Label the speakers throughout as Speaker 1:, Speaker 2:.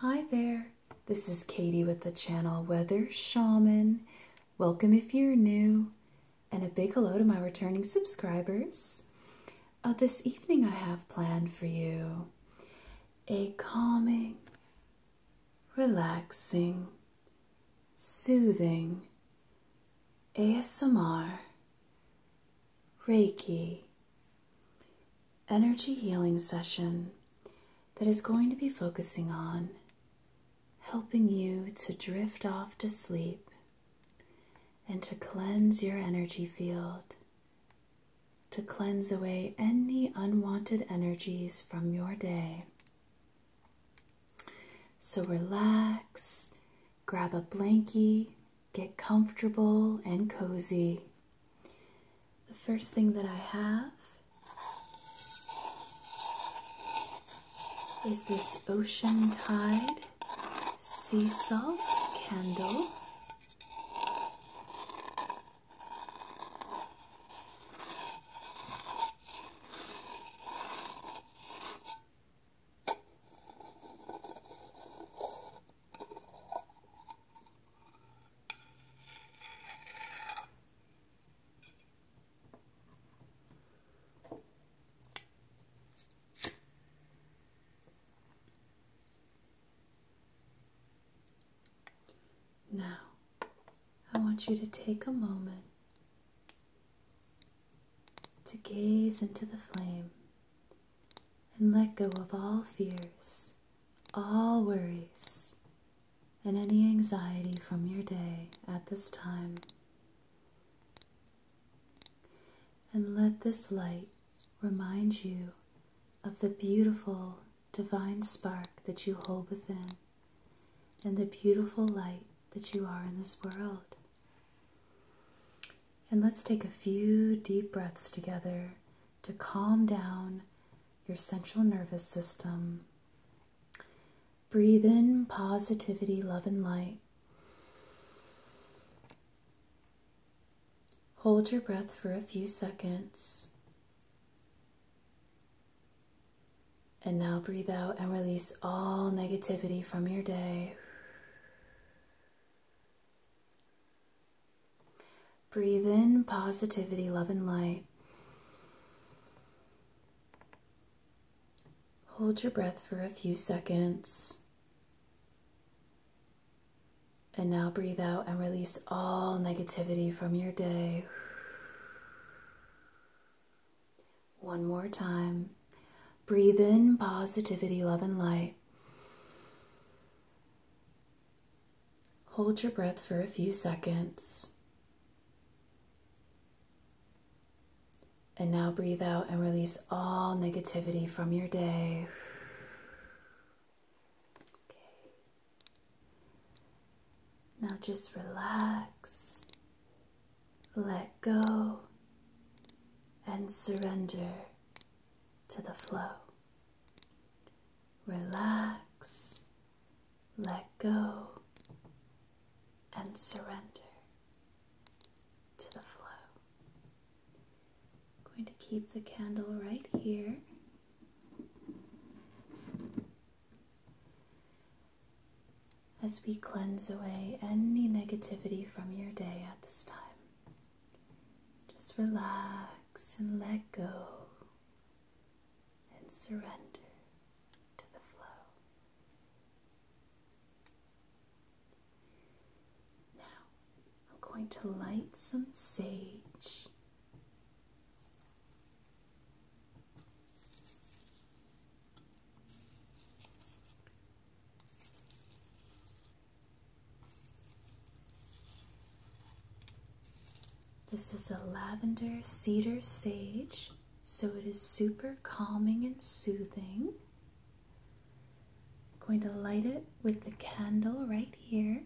Speaker 1: Hi there, this is Katie with the channel Weather Shaman. Welcome if you're new, and a big hello to my returning subscribers. Uh, this evening, I have planned for you a calming, relaxing, soothing ASMR Reiki energy healing session that is going to be focusing on helping you to drift off to sleep and to cleanse your energy field, to cleanse away any unwanted energies from your day. So relax, grab a blankie, get comfortable and cozy, the first thing that I have is this Ocean Tide sea salt candle. Now, I want you to take a moment to gaze into the flame and let go of all fears, all worries, and any anxiety from your day at this time. And let this light remind you of the beautiful divine spark that you hold within and the beautiful light that you are in this world. And let's take a few deep breaths together to calm down your central nervous system. Breathe in positivity, love, and light. Hold your breath for a few seconds. And now breathe out and release all negativity from your day. Breathe in positivity, love, and light. Hold your breath for a few seconds. And now breathe out and release all negativity from your day. One more time. Breathe in positivity, love, and light. Hold your breath for a few seconds. And now breathe out and release all negativity from your day. Okay. Now just relax, let go, and surrender to the flow relax, let go, and surrender to the flow. I'm going to keep the candle right here. As we cleanse away any negativity from your day at this time, just relax and let go and surrender to the flow. Now, I'm going to light some sage. This is a lavender cedar sage, so it is super calming and soothing. going to light it with the candle right here.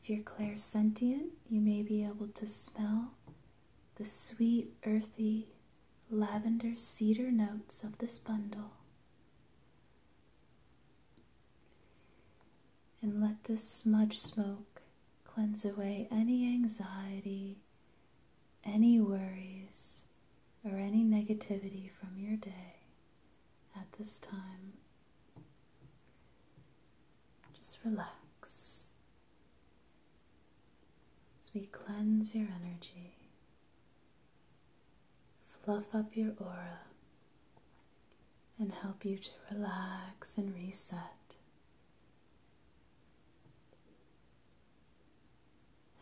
Speaker 1: If you're clairsentient, you may be able to smell the sweet, earthy, lavender cedar notes of this bundle. And let this smudge smoke cleanse away any anxiety, any worries, or any negativity from your day at this time. Just relax as we cleanse your energy fluff up your aura, and help you to relax and reset,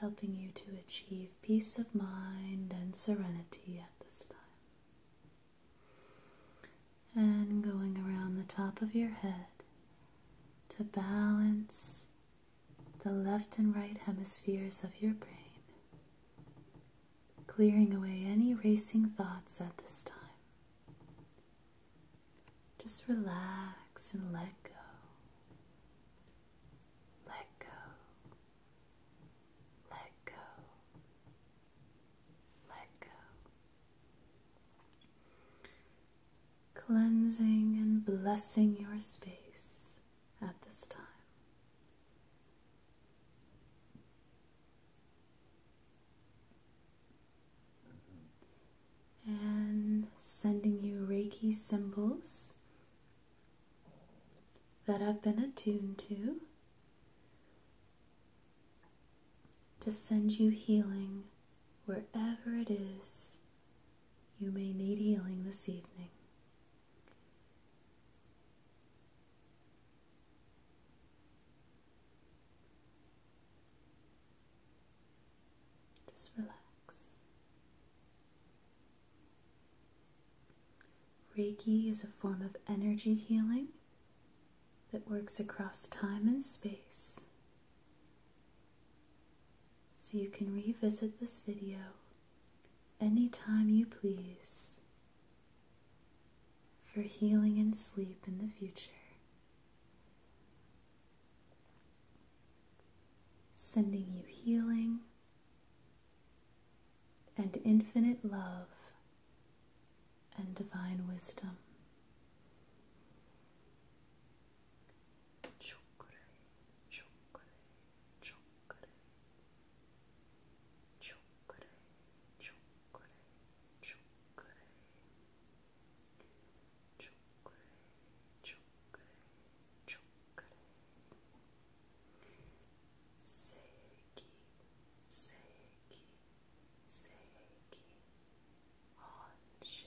Speaker 1: helping you to achieve peace of mind and serenity at this time. And going around the top of your head to balance the left and right hemispheres of your brain, clearing away any racing thoughts at this time. Just relax and let go. Let go. Let go. Let go. Cleansing and blessing your space at this time. And sending you Reiki symbols that I've been attuned to to send you healing wherever it is you may need healing this evening. Just relax. Reiki is a form of energy healing that works across time and space. So you can revisit this video anytime you please for healing and sleep in the future. Sending you healing and infinite love and divine wisdom chocolate, chocolate, chocolate, chocolate, chocolate, chocolate, chocolate. Seiki, seiki, seiki, Honshe,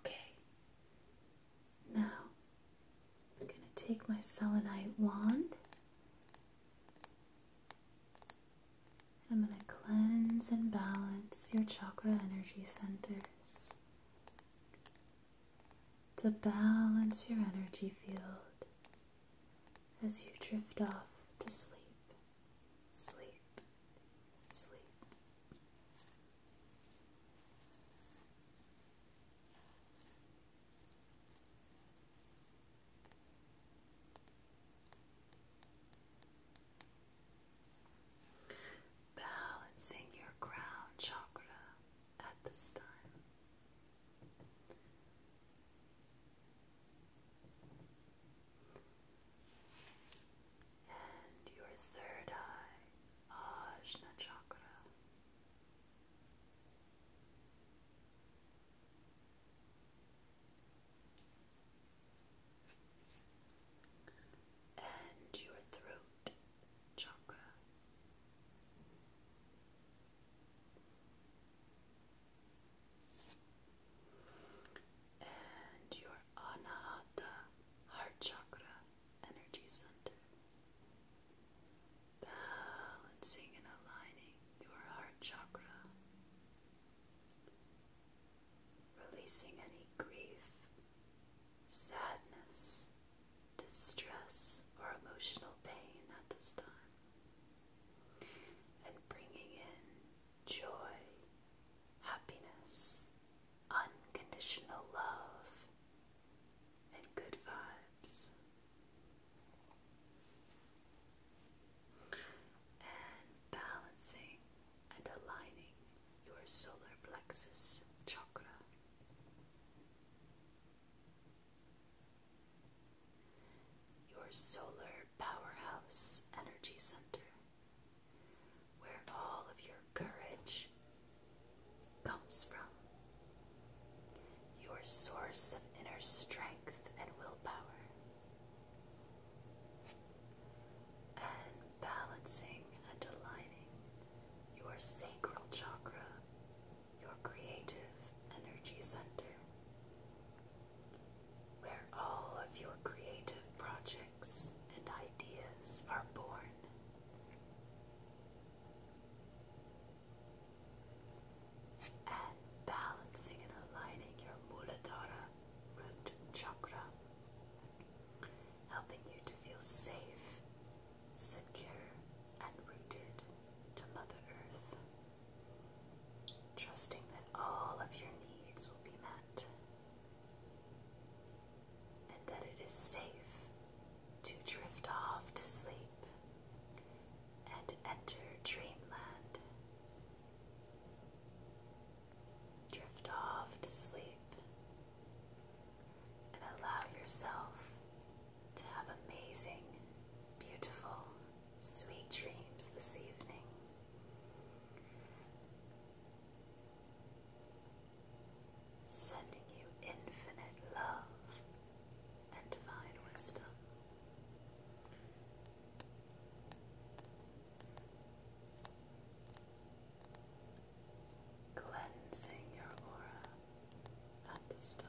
Speaker 1: Okay, now I'm going to take my selenite wand and I'm going to cleanse and balance your chakra energy centers to balance your energy field as you drift off to sleep sleep, sleep. Balancing your crown chakra at this time and your third eye, Ajna Chakra. And your throat chakra and your Anahata heart chakra energy center. Balancing and aligning your heart chakra. Releasing any grief, sadness, distress, or emotional pain at this time. And bringing in joy, happiness, unconditional love, and good vibes. And balancing and aligning your solar plexus chakra. Your solar powerhouse energy center where all of your courage comes from, your source of inner strength and willpower, and balancing and aligning your sacral chakra, your creative energy center, where all of your creative projects and ideas are born. And balancing and aligning your Muladhara root chakra, helping you to feel safe, secure, and rooted to Mother Earth. Trusting that all of your needs will be met and that it is safe to drift off to sleep and enter dreamland. Drift off to sleep and allow yourself to have amazing, beautiful, sweet dreams this evening sending you infinite love and divine wisdom. Cleansing your aura at this time.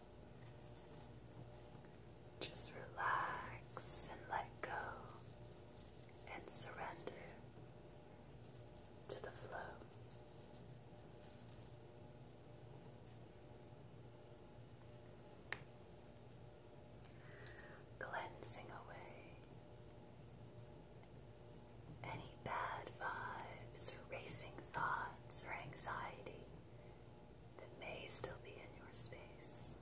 Speaker 1: Just relax and let go and surrender to the flow. Cleansing away any bad vibes or thoughts or anxiety that may still be in your space,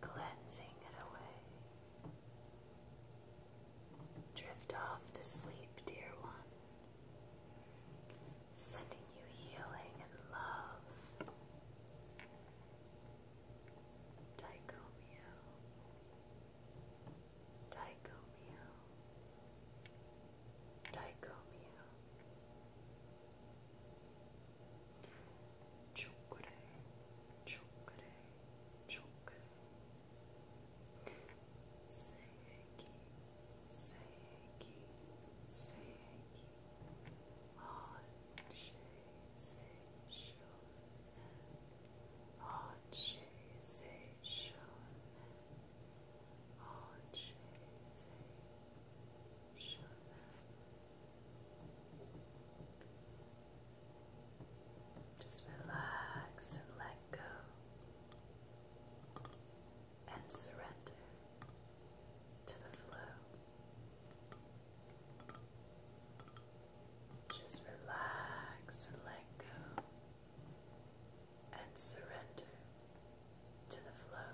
Speaker 1: cleansing it away. Drift off to sleep, dear one, sending you healing and love. Dicomio, Dicomio. Dicomio Chukure Chukure Chukure Seiki Seiki Seiki Hot Shonen Hot Shonen just relax and let go and surrender to the flow. Just relax and let go and surrender to the flow.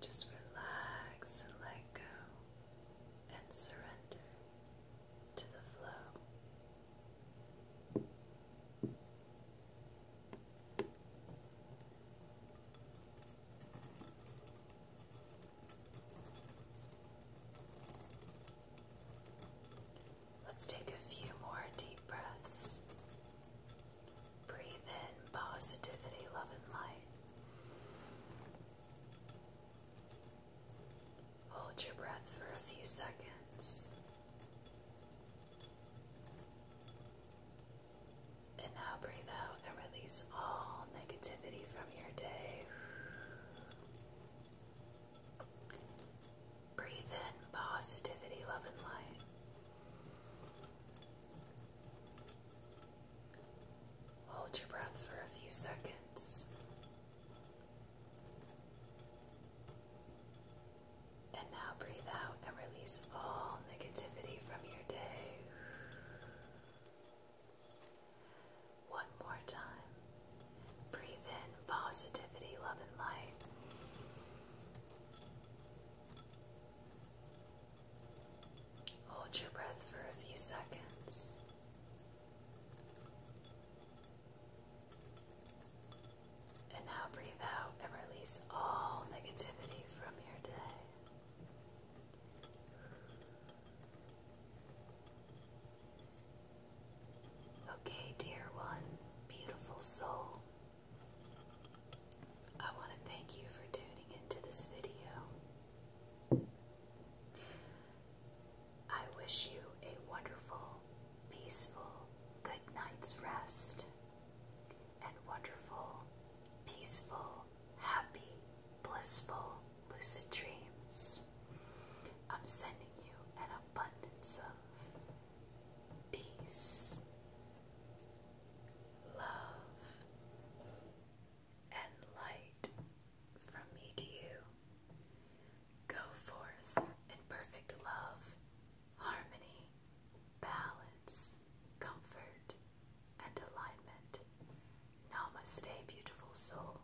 Speaker 1: Just relax and let go and surrender to the flow. Let's take a few more deep breaths. Breathe in positivity, love, and light. Hold your breath for a few seconds. And now breathe out and release all negativity from your day. Breathe in positivity, love, and light. Hold your breath for a few seconds. And now breathe out and release all negativity from your day. One more time. Breathe in positivity, love, and light. Hold your breath for a few seconds. And now breathe out and release all negativity from your day. Okay, dear one, beautiful soul, I want to thank you for tuning into this video. I wish you a wonderful, peaceful, good night's rest and wonderful, peaceful, happy, blissful, lucid dreams. I'm sending you an abundance of peace, love, and light from me to you. Go forth in perfect love, harmony, balance, comfort, and alignment. Namaste, beautiful soul.